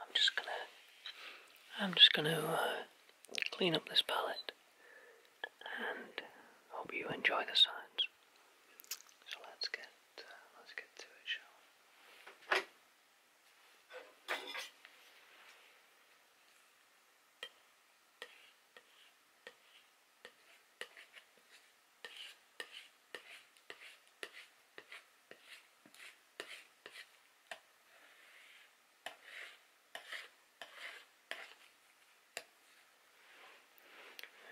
I'm just gonna, I'm just gonna uh, clean up this palette, and hope you enjoy the sounds. So let's get, uh, let's get to it, shall we?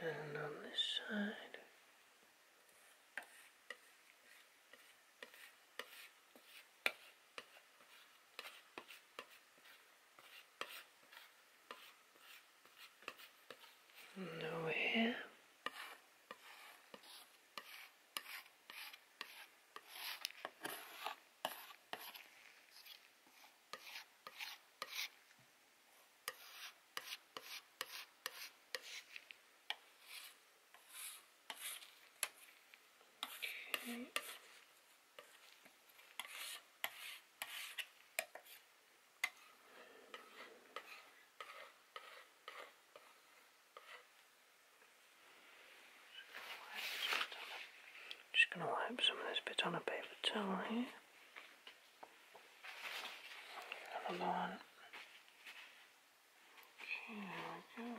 And on this side, and over here. Okay. Just going to wipe some of this bit on a paper towel here. Another one. Here we go.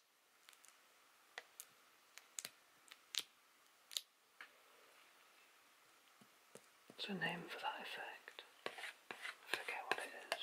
There's a name for that effect. I forget what it is.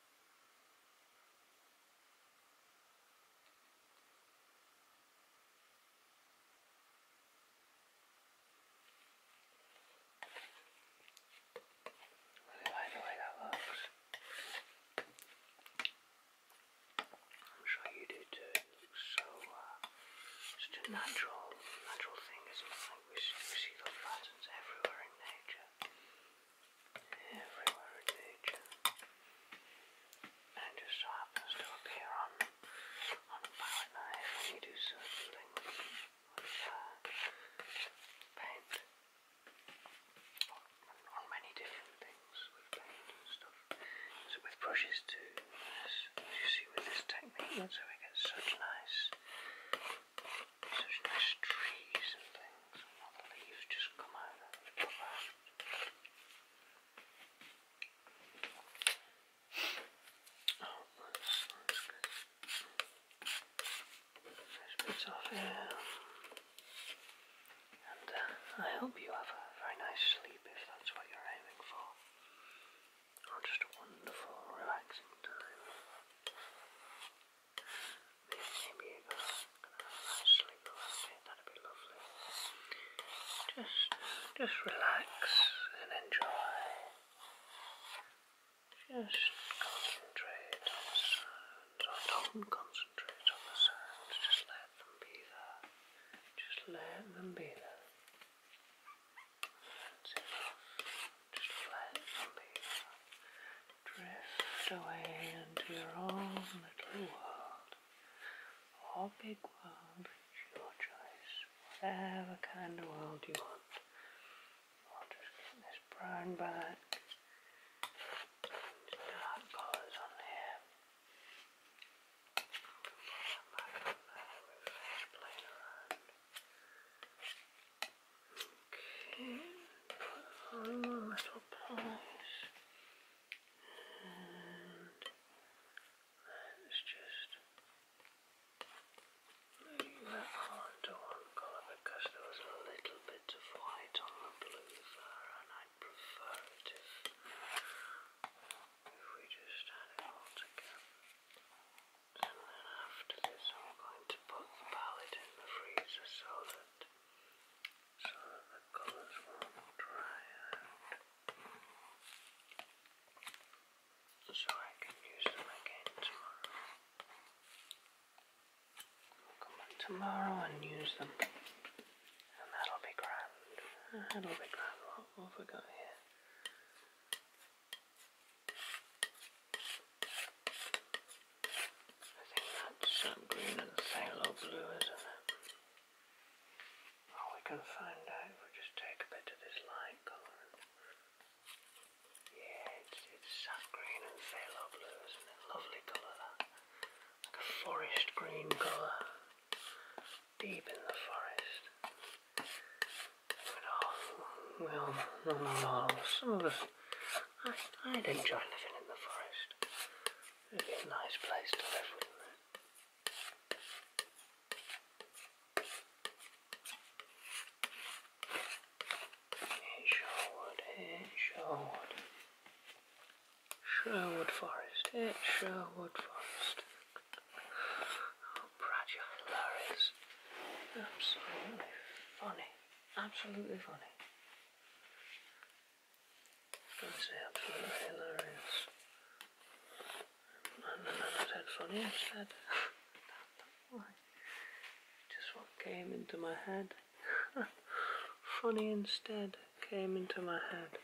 do the way that looks? I'm sure you do too. so, uh, a natural, natural thing, isn't think we see, we see everywhere in nature. Everywhere in nature. And just so happens to on on a palette knife when you do certain things with paint. On, many different things with paint and stuff. So with brushes too, as, you see with this technique, so it gets such nice these nice trees and things, and all the leaves just come out of the ground. Oh, that's, that's good. Nice And uh, I hope you have a very nice sleep if that's what you're aiming for just a wonderful, relaxing time. Maybe you go that'd be lovely. Just, just relax and enjoy. Just concentrate on the sounds, oh, don't concentrate on the sounds, just let them be there. Just let them be there just let me drift away into your own little world or big world, it's your choice, whatever kind of world you want. I'll just get this brown back, dark colours on here. Okay, put on the little polish and let's just move that onto one colour because there was a little bit of white on the blue there and I prefer it if we just had it all together. And then after this, I'm going to put the palette in the freezer so that, so that the colours won't dry out. So I can use them again tomorrow. come back tomorrow and use them. And that'll be grand. That'll be grand. What have we got here? I think that's some green and phthalo blue, isn't it? Well, we can find out if we just take a bit of this light colour. Yeah, it's, it's sap green and phthalo blue, isn't it? Lovely colour that. Like a forest green colour deep in the forest. But all, well, not all, some of I, i enjoy living in the forest. it a nice place to live, wouldn't it? It Sherwood Forest, it's Sherwood Forest. Oh, Bradshaw Larry's. Absolutely funny. Absolutely funny. I say absolutely hilarious. No, no, no, I said funny, I said. Just what came into my head. funny instead came into my head.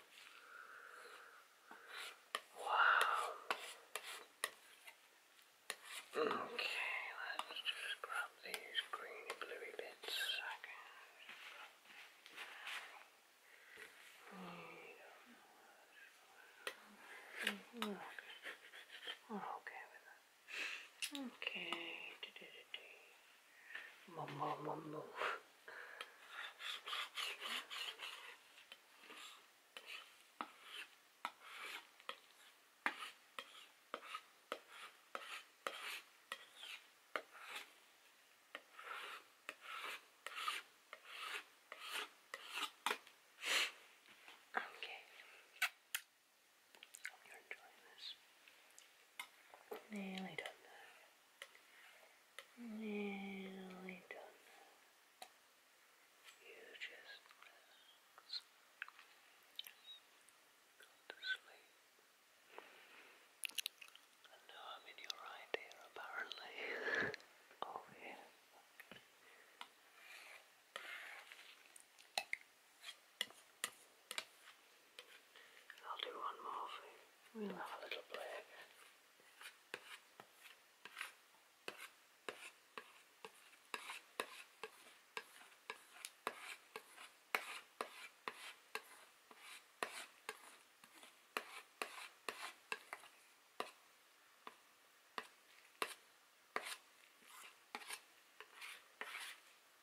Wow. Okay, let's just grab these greeny bluey bits okay. okay Moo, moo, moo, Okay. Hope this. Nearly done. Nearly done. You just relax. Go sleep. I know I'm in your right ear apparently. Over oh, here. I'll do one more We'll have a little play again.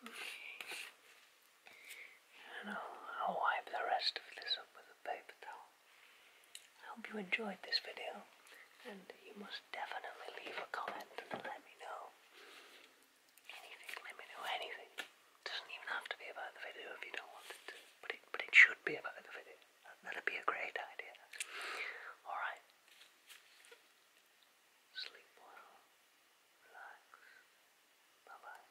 Okay. And I'll, wipe the rest of this up with a paper towel. I hope you enjoyed this video, and you must definitely leave a comment and let me know anything. Let me know anything. doesn't even have to be about the video if you don't want it but it, but it should be about the video. That'd be a great idea. Alright. Sleep well. Relax. Bye-bye.